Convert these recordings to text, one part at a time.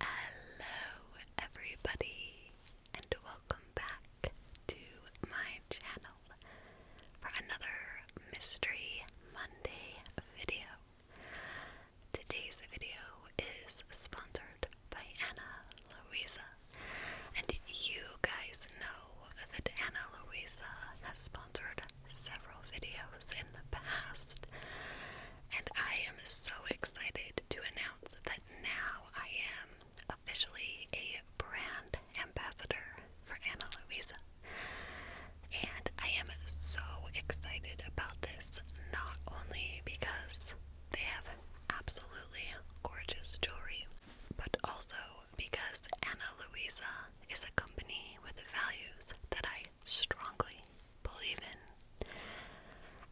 Hello, everybody, and welcome back to my channel for another Mystery Monday video. Today's video is sponsored by Anna Louisa, and you guys know that Anna Louisa has sponsored several videos in the past and I am so excited to announce that now I am officially a brand ambassador for Anna Luisa. And I am so excited about this, not only because they have absolutely gorgeous jewelry, but also because Anna Luisa is a company with values that I strongly believe in.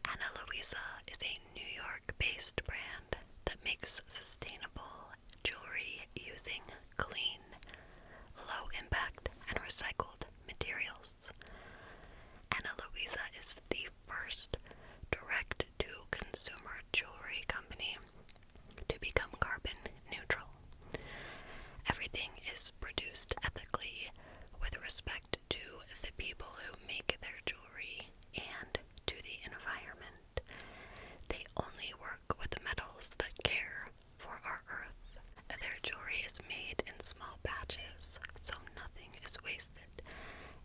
Ana Luisa is a New York based brand that makes sustainable jewelry using clean, low impact, and recycled materials. Ana Luisa is the first direct to consumer jewelry company to become carbon neutral. Everything is produced ethically with respect to the people who make their jewelry and to the environment. They only work with metals that care for our earth. Their jewelry is made in small batches, so nothing is wasted,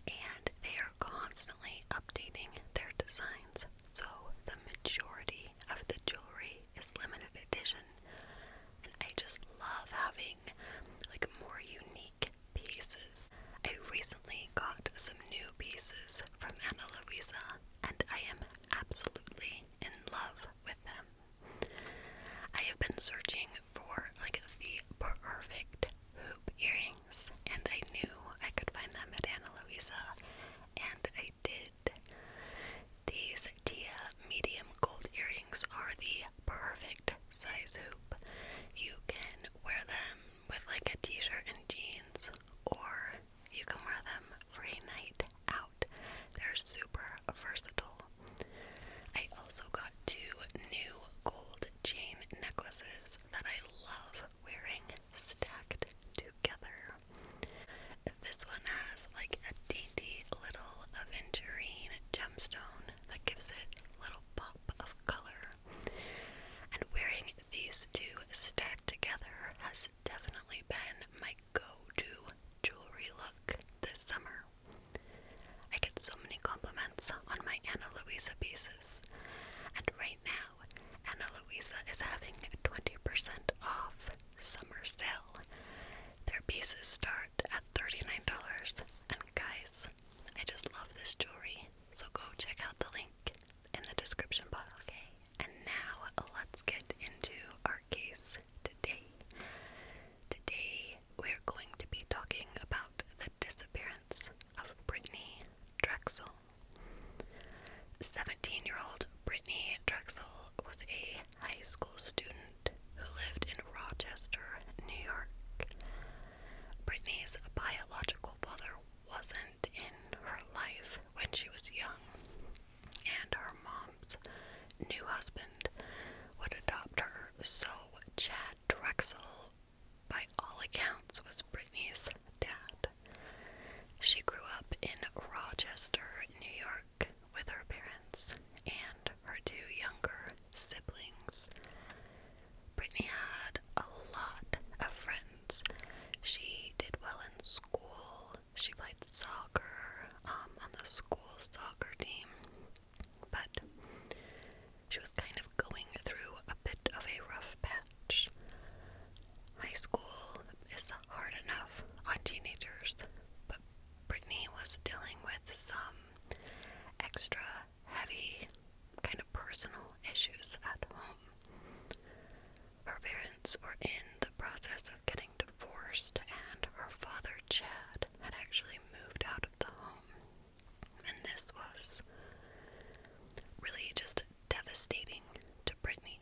and they are constantly updating their designs, so the majority of the jewelry is limited edition. I just love having like more unique pieces. I recently got some new pieces from Ana Luisa and I am absolutely in love with them. I have been searching for like the perfect hoop earrings and I knew I could find them at Ana Luisa and I did. These Tia medium gold earrings are the perfect size hoop. You can wear them with like a t-shirt and jeans or you can wear them for a night out. They're super versatile. I also got two new gold chain necklaces that I love wearing stacked together. This one has like dainty little aventurine gemstone that gives it a little pop of color. And wearing these two stacked together has definitely been my go-to jewelry look this summer. I get so many compliments on my Anna Luisa pieces, and right now, Anna Luisa is having 20% off summer sale. Their pieces start at $39. And guys, I just love this jewelry. So go check out the link in the description box. Okay. And now let's get into our case today. Today we're going to be talking about the disappearance of Brittany Drexel. 17 year old Brittany Drexel was a high school student who lived in Rochester, New York. Brittany's biological father wasn't in her life when she was young, and her mom's new husband would adopt her, so Chad Drexel, by all accounts, was Brittany's dad. She grew up in Rochester, New York, with her parents and her two younger siblings. Britney had a lot of friends. She did well in school. She played soccer um, on the school soccer team. But she was kind of going through a bit of a rough patch. High school is hard enough on teenagers, but Brittany was dealing with some extra heavy kind of personal issues at home. Her parents were in the process of getting divorced, and her father, Chad, had actually moved out of the home. And this was really just devastating to Brittany.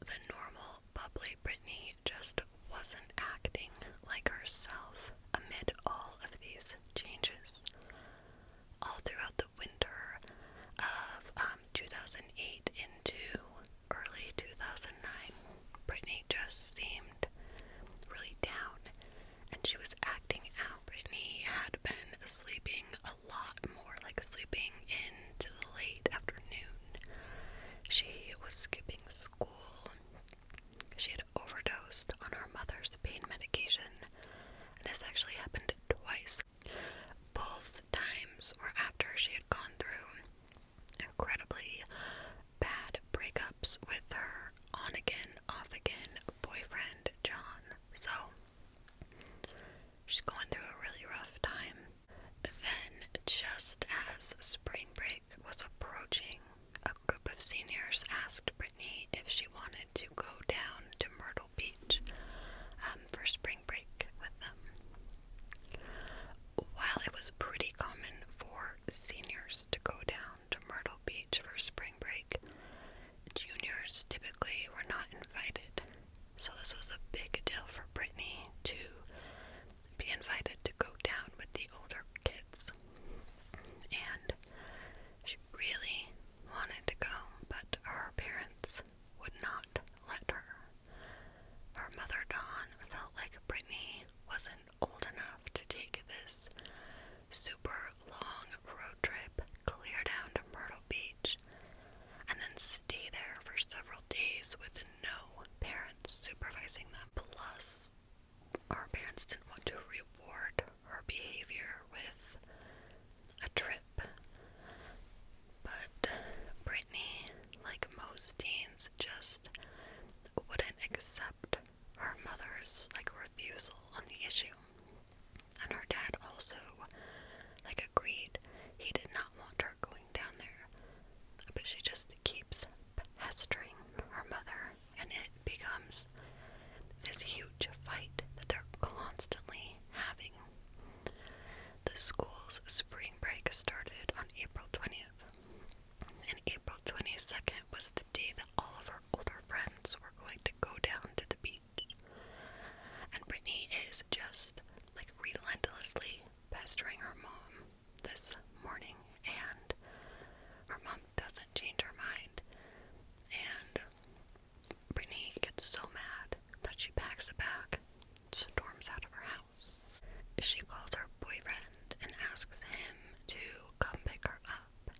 The normal bubbly Britney just wasn't acting like herself amid all of these changes. All throughout the winter of um, 2008 into early 2009, Britney just seemed really down and she was acting out. Britney had been sleeping a lot more, like sleeping into the late afternoon. She was skipping school. She had overdosed on her mother's pain medication. this actually happened twice. Both times were after she had gone through incredibly bad breakups with her on again, off again boyfriend, John. So she's going through a really rough time. Then, just as spring break was approaching, a group of seniors asked Brittany if she wanted to go down to Myrtle Beach um, for spring break with them. While it was pretty common for seniors to go down to Myrtle Beach for spring break, juniors typically were not invited. So, this was a big deal for Brittany to be invited to go down with the older kids. And she really wanted to go, but her parents would not let her. Her mother, Dawn, felt like Brittany wasn't old enough to take this super long road trip clear down to Myrtle Beach and then stay there for several days with no no parents supervising them. Plus, our parents didn't want to reward her behavior with a trip. But Brittany, like most teens, just wouldn't accept her mother's like refusal on the issue. And her dad also like agreed he did not want her going down there, but she just keeps pestering her mother, and it becomes this huge fight that they're constantly having. The school's spring break started on April 20th, and April 22nd was the day that all of her older friends were going to go down to the beach. And Brittany is just like relentlessly pestering her mom this morning, and her mom doesn't change her mind. And Brittany gets so mad that she packs a bag, storms out of her house. She calls her boyfriend and asks him to come pick her up,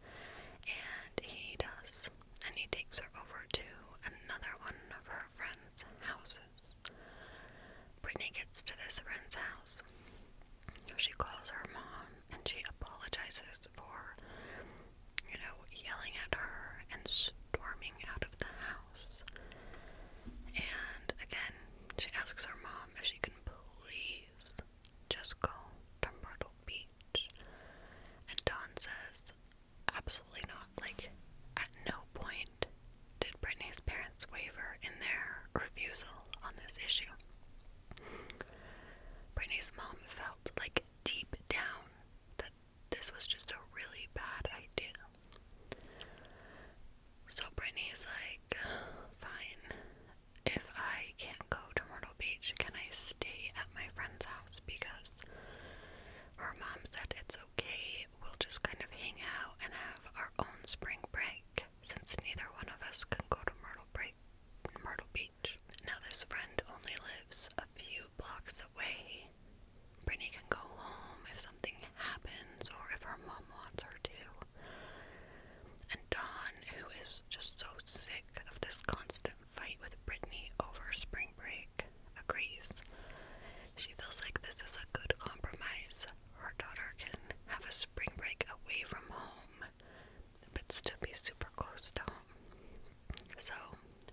and he does. And he takes her over to another one of her friends' houses. Britney gets to this friend's house. She calls her mom and she apologizes for, you know, yelling at her and storming out of the house. And again, she asks her mom if she can please just go to Myrtle Beach. And Dawn says, absolutely not. Like, at no point did Britney's parents waver in their refusal on this issue? Brittany's mom felt like deep down that this was just a really bad idea. So Brittany's like, fine, if I can't go to Myrtle Beach, can I stay at my friend's house? Because her mom said it's okay, we'll just kind of hang out and have our own spring break since neither one of us can go to Myrtle Break Myrtle Beach. Now this friend only lives a few blocks away. Brittany can go home if something happens or if her mom wants her to. And Don, who is just so sick of this constant fight with Brittany over spring break, agrees. She feels like this is a good compromise her daughter can have a spring break away from home, but still be super close to home. So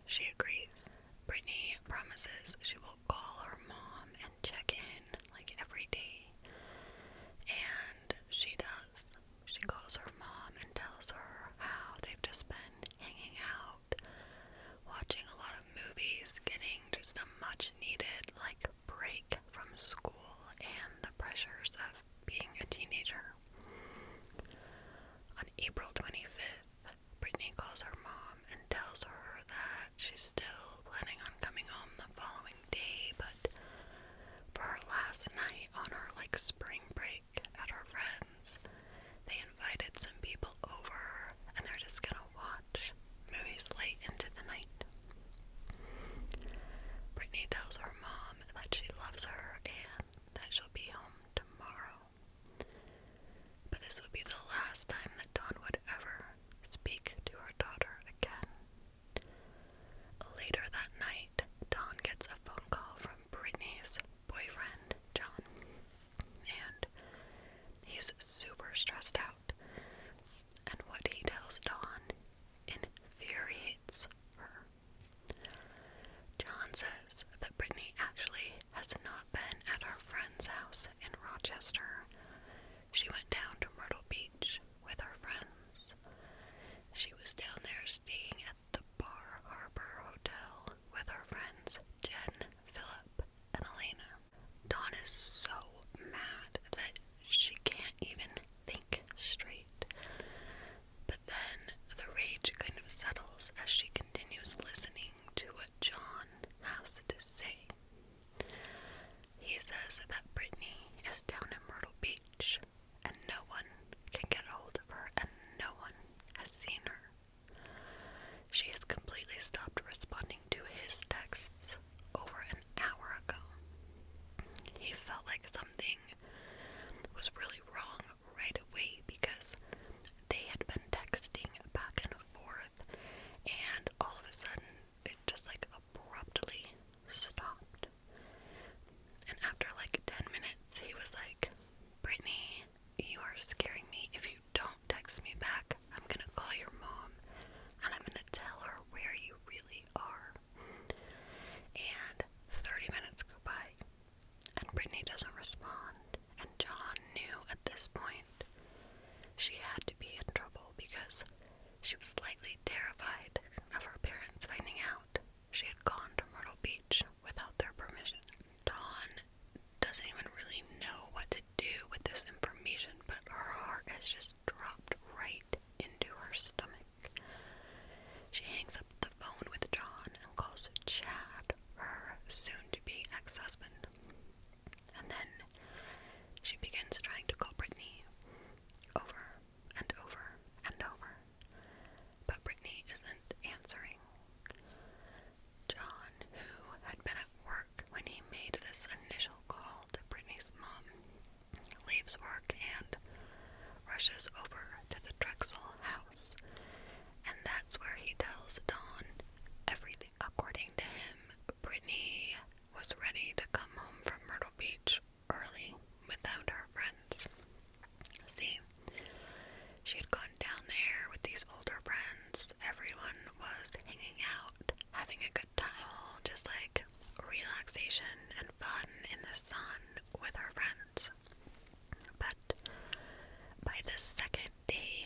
she agrees. Brittany promises she will call her mom and check in like every day. And she does. She calls her mom and tells her how they've just been hanging out watching a lot of movies, getting just a much needed like break from school and the pressures of being a teenager. On April 25th, Brittany calls her mom and tells her that she's still planning on coming home the following day, but for her last night on her like spring break at her friends, they invited some people over and they're just gonna watch movies late into the night. Brittany tells her mom that she loves her and that she'll be home tomorrow. But this would be the last time that Dawn would ever speak to her daughter again. Later that night, Dawn gets a phone call from Brittany's boyfriend, John and he's super stressed out. And what he tells Dawn infuriates her. John says that Brittany actually has not been at her friend's house in Rochester. She went down to Myrtle Beach with her friends. She was down there staying at the Bar Harbor Hotel with her friends Jen, Philip, and Elena. Dawn is so mad that she can't even think straight. But then the rage kind of settles as she continues listening to what John has to say. He says that Brittany is down in Myrtle Beach and no one can get a hold of her and no one has seen her. She has completely stopped responding to his texts over an hour ago. He felt like something was really wrong right away because they had been texting back and forth, and all of a sudden it just like abruptly stopped. And after like 10 minutes, he was like, Brittany, you are scaring me. If you don't text me back, I'm gonna call your mom and I'm gonna tell her where you really are. And 30 minutes go by, and Brittany doesn't respond. And John knew at this point she had to be in trouble because she was slightly terrified of her parents finding out she had gone to Myrtle Beach without their permission. Dawn doesn't even really know what to do with this information, but her heart has just dropped right into her stomach. She hangs up the phone with John and calls Chad, her soon to be ex husband. And then she begins trying to call Brittany over and over and over. But Brittany isn't answering. John, who had been at work when he made this initial call to Brittany's mom, leaves work and rushes over to the Drexel house. And that's where he tells Dawn everything. According to him, Brittany was ready to come home from Myrtle Beach early without her friends. See, she had gone down there with these older friends. Everyone was hanging out, having a good time, just like relaxation and fun in the sun with her friends. But by the second day,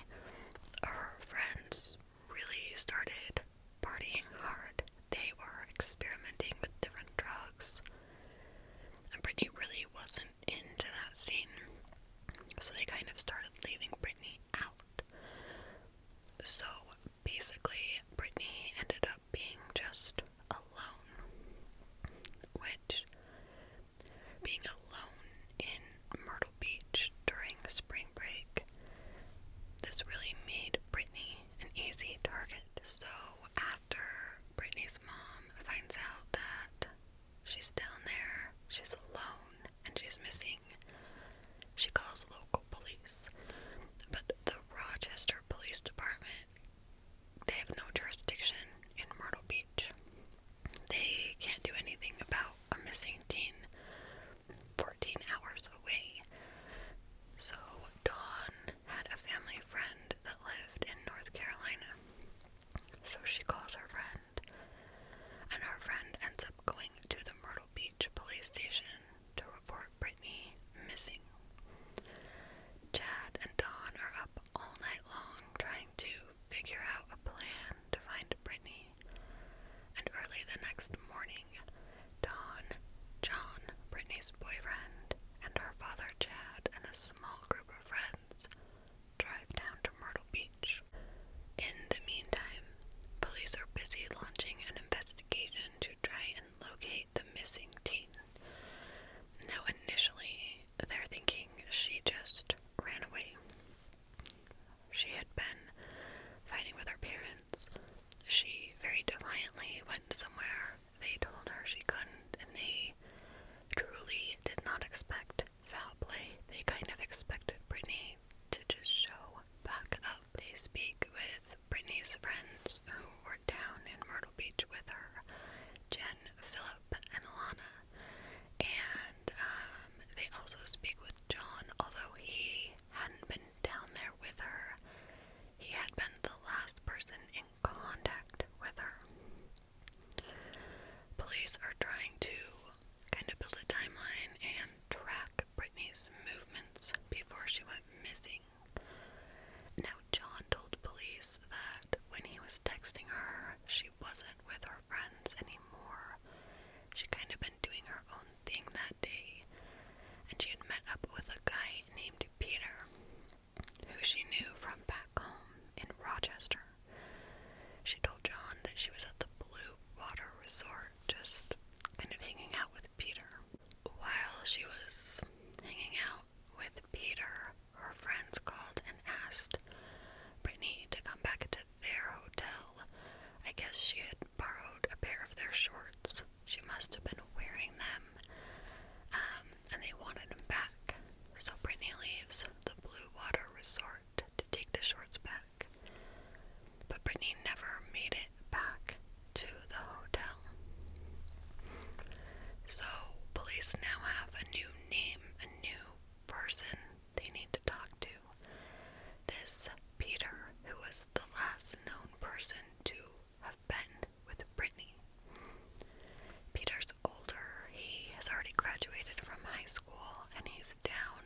her friends really started partying hard. They were experimenting with different drugs. And Brittany really wasn't into that scene. So they kind of started leaving Brittany out. So basically, Brittany ended up being just alone, which being alone in Myrtle Beach during spring break, this really made Brittany an easy target. So after Brittany's mom finds out that She's down there, she's alone, and she's missing. She calls local police, but the Rochester Police Department, they have no jurisdiction in Myrtle Beach. They can't do anything about a missing teen 14 hours away. So Dawn had a family friend that lived in North Carolina. So she calls her friend, and her friend ends up going to the Myrtle Beach police station to report Brittany missing. Chad and Don are up all night long trying to figure out a plan to find Brittany. And early the next morning, Don, John, Brittany's boyfriend, and her father Chad and a small group of friends drive down to Myrtle Beach. In the meantime, police are busy launching an investigation to try and locate the missing teen. Now, initially, they're thinking she just ran away. She had been fighting with her parents. She very defiantly went somewhere. They told her she couldn't, and they truly did not expect foul play, they kind of expected Brittany to just show back up. They speak with Brittany's friends who were down in Myrtle Beach with her, Jen, Philip, and Alana. And um, they also speak with John, although he hadn't been down there with her. He had been the last person in contact with her. Police are trying to kind of build a timeline and track Britney's movements before she went missing. Now, John told police that when he was texting her, she wasn't with her friends anymore. She kind of been doing her own thing that day, and she had met up with a guy named Peter, who she knew from back home in Rochester. She told John that she was at the Blue Water Resort, just kind of hanging out with Peter. While she was hanging out with Peter, her friends called and asked Britney to come back to their hotel. I guess she had borrowed a pair of their shorts. She must have been wearing them, um, and they wanted them back. So Britney leaves the Blue Water Resort to take the shorts back. But Brittany never made it back to the hotel. So, police now have a new name, a new person they need to talk to. This Peter, who was the last known person to have been with Brittany. Peter's older. He has already graduated from high school and he's down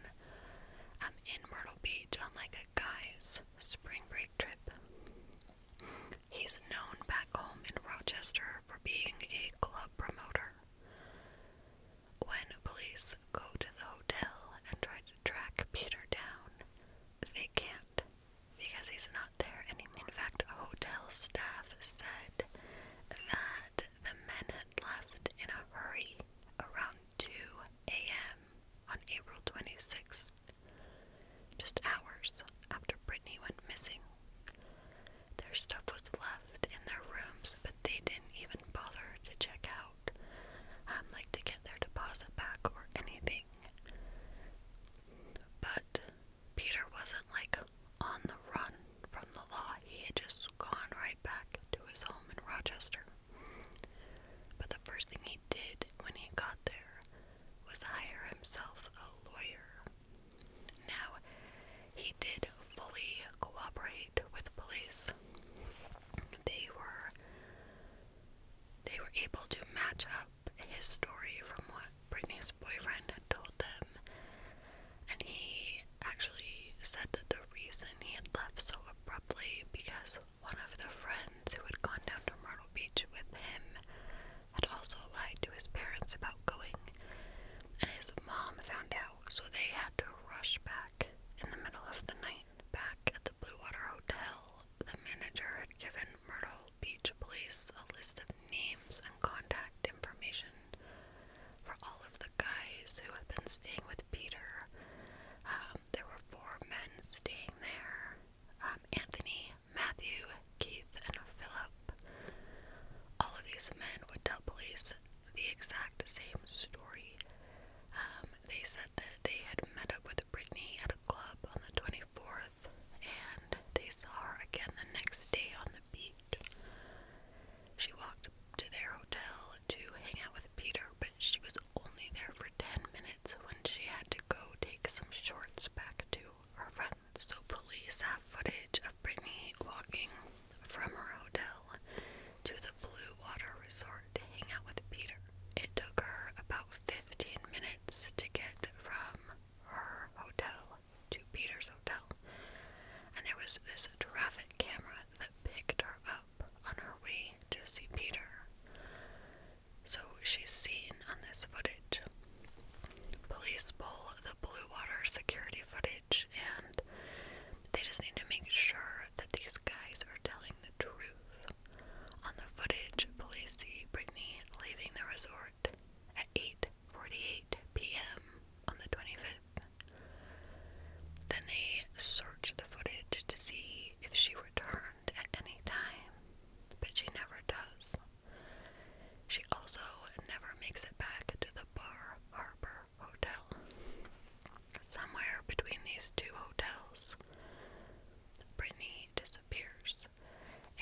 um, in Myrtle Beach on like a guy's spring break trip. He's known back home in Rochester for being a club promoter. When police go to the hotel and try to track Peter down, they can't because he's not there anymore. In fact, hotel staff said that the men had left in a hurry around 2 a.m. on April 26th, just hours after Brittany went missing. Their stuff was left in their rooms, but they didn't even bother to check out, um, like to get their deposit back or anything. But Peter wasn't like on the run from the law, he had just gone right back to his home in Rochester. But the first thing he did when he got there was hire himself a lawyer. Now, he did fully cooperate with police. They were they were able to match up his story from what Brittany's boyfriend had told them, and he actually said that the reason he had left so abruptly because one of the friends who had gone down to Myrtle Beach with him had also lied to his parents about going, and his mom found out, so they had to rush back in the middle of the night. Back at the Blue Water Hotel, the manager had given Myrtle Beach police a list of names and contact information for all of the guys who have been staying with Peter. Um, there were four men staying there um, Anthony, Matthew, Keith, and Philip. All of these men would tell police the exact same story. Um, they said that they had met up with Brittany at a club on the 24th, and they saw her again the next day on the. She walked to their hotel to hang out with Peter, but she was only there for 10 minutes when she had to go take some shorts back to her friends. So, police have footage of Britney walking from her hotel to the Blue Water Resort to hang out with Peter. It took her about 15 minutes to get from her hotel to Peter's hotel, and there was this traffic camera that picked her up on her way to see Peter. So she's seen on this footage. Police pull the Blue Water security footage, and they just need to make sure that these guys are telling the truth. On the footage, police see Brittany leaving the resort at 8:48 p.m. on the 25th. Then they searched the footage to see if she returned at any time, but she never does. She also never makes it back to the Bar Harbor Hotel. Somewhere between these two hotels, Brittany disappears.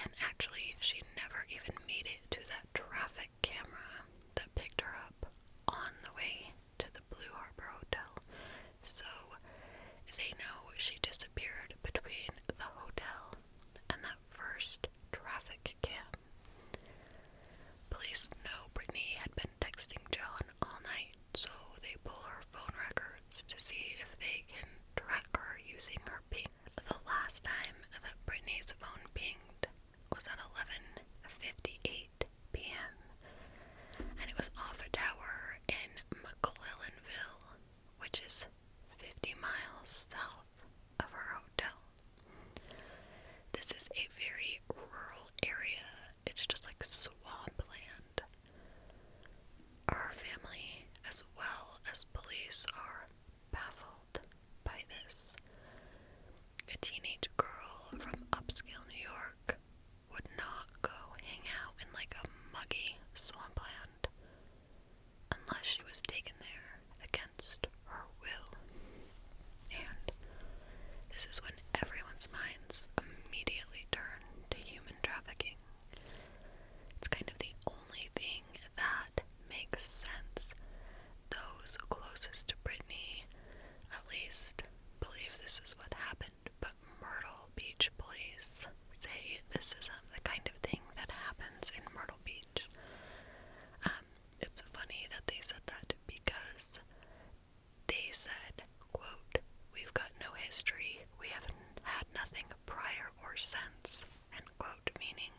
And actually, she never even made it to that traffic camera that picked her up on the way to the Blue Harbor Hotel. So they know she disappeared between the hotel and that first traffic cam. Police know Brittany had been texting John all night, so they pull her phone records to see if they can track her using her pings. The last time that Brittany's phone pinged was at 11:58 p.m. and it was off a tower in McClellanville, which is 50 miles south of our hotel. This is a very rural area. It's just like swampland. Our family, as well as police, are baffled by this. A teenage girl from upscale New York would not go hang out in like a muggy swampland unless she was taken there against her will. And this is when everyone's minds immediately turn to human trafficking. It's kind of the only thing that makes sense. Those closest to Brittany, at least, believe this is what happened, but Myrtle Beach police say this isn't the kind of thing that happens in Myrtle Beach. Um, it's funny that they said that because they said, quote, we've got no history, we haven't had nothing prior or since end quote, meaning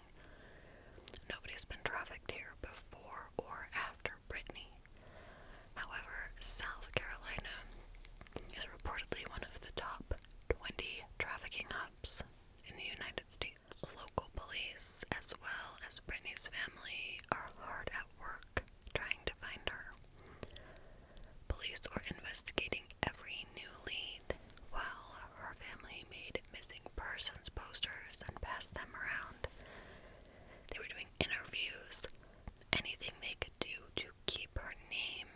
nobody's been trafficked here before or after Brittany. However, South Carolina is reportedly one of the top 20 trafficking hubs in the United States. Local police, as well as Brittany's family, are hard at work trying to find her. Police were investigating every newly night while her family made missing persons posters and passed them around. They were doing interviews, anything they could do to keep her name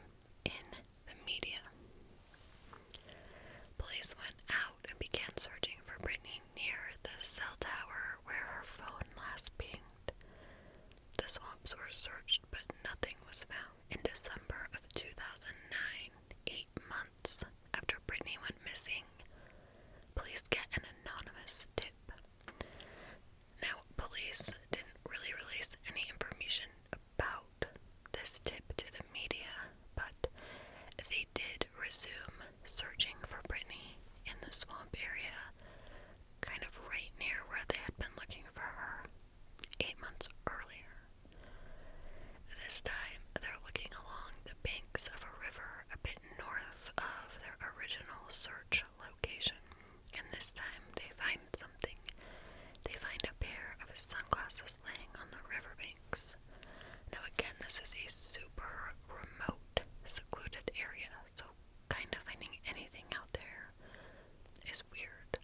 in the media. Police went out and began searching for Brittany near the cell tower where her phone last pinged. The swamps were searched, but nothing was found. In December of 2009, eight months after Brittany went missing, police get an anonymous tip. Now, police didn't really release any information about this tip to the media, but they did resume searching for Brittany in the swamp area, kind of right near where they had been looking for her eight months earlier. This time, they're looking along the banks of a river a bit north of their original search location. And this time, they find something. They find a pair of sunglasses laying on the riverbanks. Now, again, this is a super remote, secluded area, so kind of finding anything out there is weird.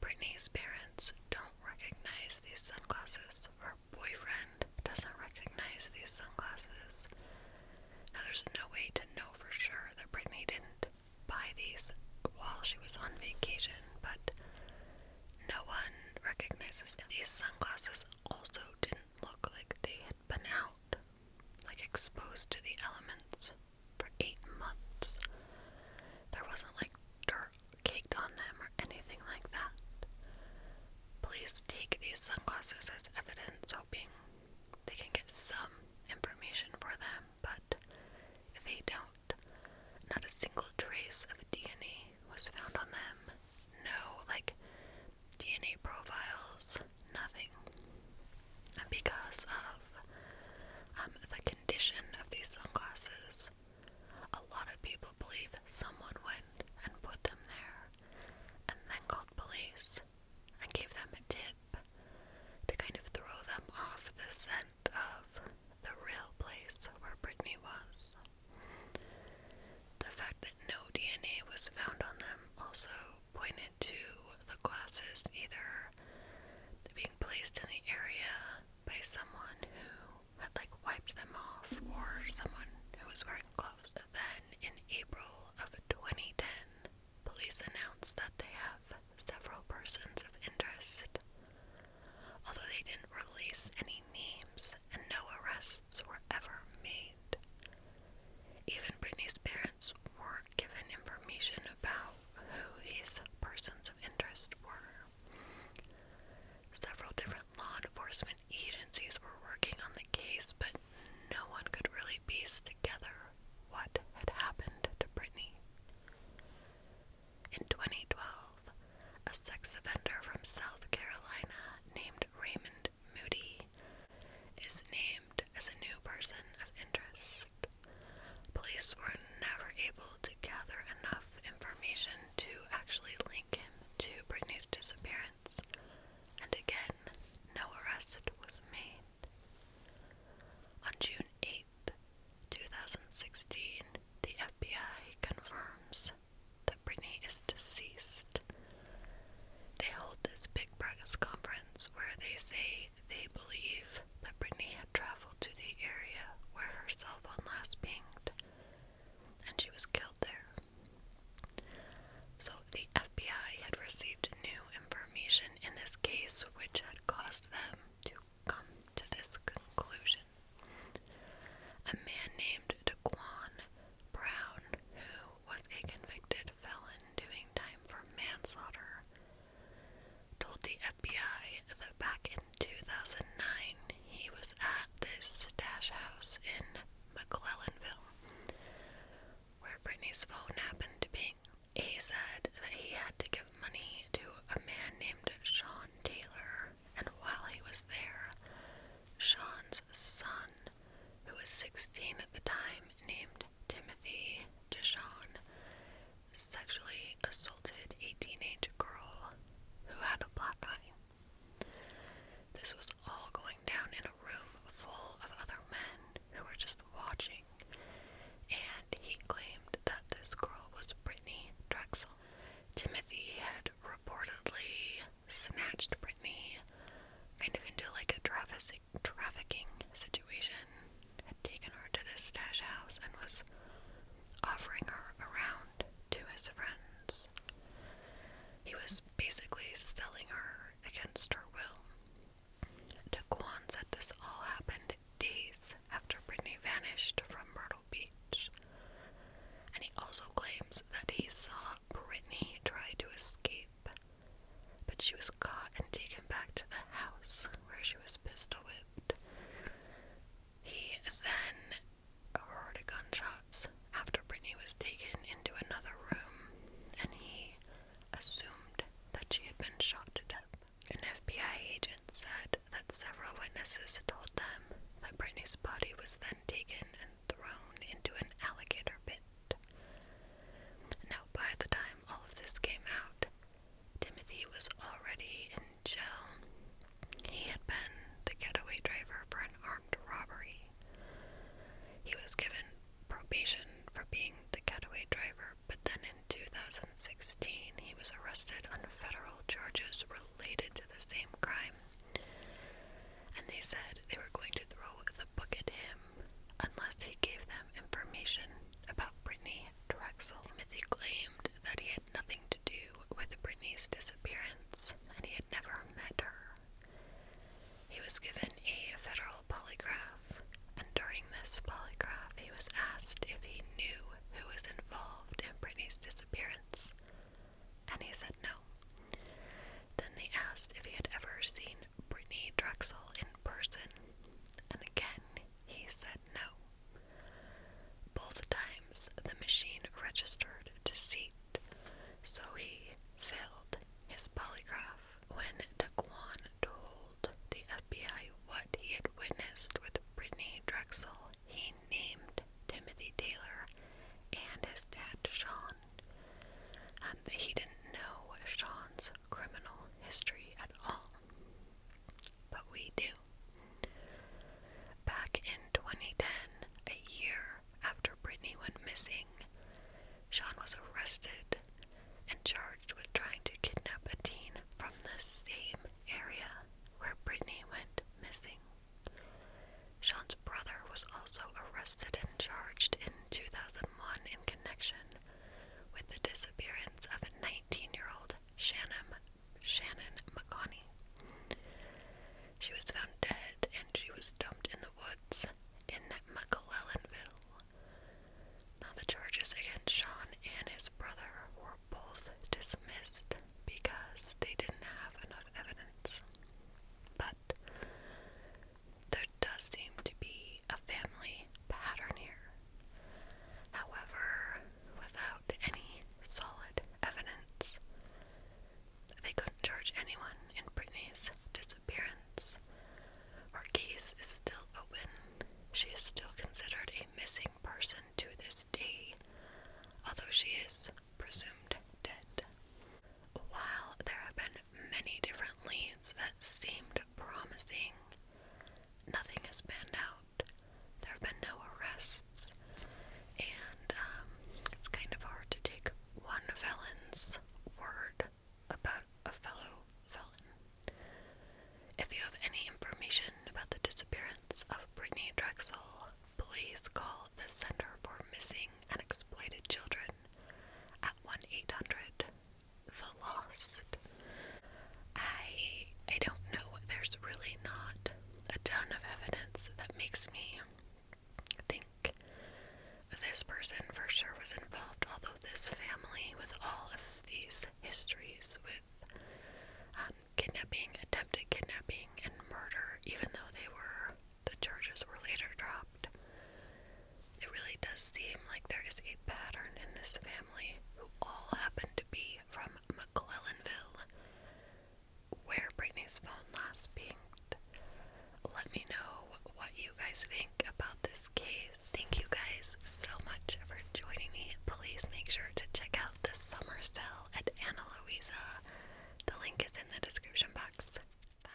Brittany's parents don't recognize these sunglasses. Her boyfriend doesn't recognize these sunglasses. Now, there's no way to know for sure that Brittany didn't buy these while she was on vacation, but no one recognizes These sunglasses also didn't look like they had been out, like exposed to the elements for eight months. There wasn't like dirt caked on them or anything like that. Police take these sunglasses as evidence, hoping they can get some information for them, but if they don't. Not a single trace of DNA was found on them. No, like DNA profiles, nothing. because of um, the condition of these sunglasses, a lot of people believe someone went and put them there and then called police and gave them a tip to kind of throw them off the scent of the real place where Brittany was. The fact that no DNA was found on them also pointed to the glasses either being placed in the area by someone who had like wiped them off or someone who was wearing gloves. Then in April of 2010, police announced that they have several persons of interest. Although they didn't release any names and no arrests were ever made. Even Britney's parents weren't given information about who these persons of interest were. Several different law enforcement agencies were working on the case, but no one could really piece together what had happened to Brittany. In 2012, a sex offender from South Carolina named Raymond Moody is named as a new person of interest. Police were never able to gather enough information to actually link him to Brittany's disappearance, and again, no arrest was made. On June 8th, 2016, the FBI confirms that Brittany is deceased. They hold this big press conference where they say they believe that Brittany had traveled to the area where her cell phone last pinged, and she was killed there. So, the FBI had received new information in this case, which had caused them to come to this conclusion. A man named Daquan Brown, who was a convicted felon doing time for manslaughter, told the FBI that back in 2009 he was at this stash house in McClellanville where Britney's phone happened to be. He said that he had to give money to a man named Sean Taylor, and while he was there, Sean's son, who was 16 at the time, named Timothy DeShawn, sexually assaulted a teenage girl who had a black eye. This was all going down in a room full of other men who were just watching, and he claimed that this girl was Brittany Drexel. Timothy had reportedly snatched Brittany kind of into like a traffic trafficking situation had taken her to this stash house and was offering her around to his friends. He was basically selling her against her will. Daquan said this all happened days after Brittany vanished from Myrtle Beach. And he also claims that he saw Brittany try to escape, but she was caught and taken back to the house where she was pistol whipped. He then heard gunshots after Brittany was taken into another room, and he assumed that she had been shot to death. An FBI agent said that several witnesses told them that Brittany's body was then taken and thrown into an alligator pit. Now, by the time all of this came out, Timothy was already in jail. He had been the getaway driver for an armed robbery. He was given probation for being the getaway driver, but then in 2016 he was arrested on federal charges related to the same crime. And they said they were going to throw the book at him unless he gave them information about Brittany Drexel. Timothy claimed that he had nothing to do with Brittany's disappearance, and he had never met her. He was given a federal polygraph, and during this polygraph, he was asked if he knew who was involved in Brittany's disappearance, and he said no. Then they asked if he had ever seen Brittany Drexel in person, and again he said no. Both times the machine registered deceit, so he failed his polygraph. When Taquan told the FBI what he had witnessed with Brittany Drexel, he named Timothy Taylor and his dad Sean. he didn't know Sean's criminal history at all. But we do. Back in 2010, a year after Brittany went missing, Sean was arrested and charged with trying to kidnap a teen from the same area where Brittany went missing. Sean's brother was also arrested and charged in 2001 in connection with the disappearance of a 19 year old Shannon, Shannon McConney. She was found dead and she was dumped in the woods in McClellanville. Now, the charges against Sean and his brother were both dismissed because they didn't have enough evidence. But there does seem to be a family pattern here. However, without any solid evidence. They couldn't charge anyone in Brittany's disappearance. Her case is still open. She is still considered a missing person to this day, although she is presumed dead. While there have been many different leads that seemed promising, nothing has panned out. There have been no arrests, and um, it's kind of hard to take one felon's word about a fellow felon. If you have any information about the disappearance of Brittany Drexel, please call the Center for Missing and Exploited Children at 1 800 the lost. I I don't know. There's really not a ton of evidence that makes me think this person for sure was involved. Although this family, with all of these histories with um, kidnapping, attempted kidnapping, and murder, even though they were the charges were later dropped. It really does seem like there is a pattern in this family who all happened to be from McClellanville, where Britney's phone last pinged. Let me know what you guys think about this case. Thank you guys so much for joining me. Please make sure to check out the summer sale at Ana Luisa. The link is in the description box. Bye.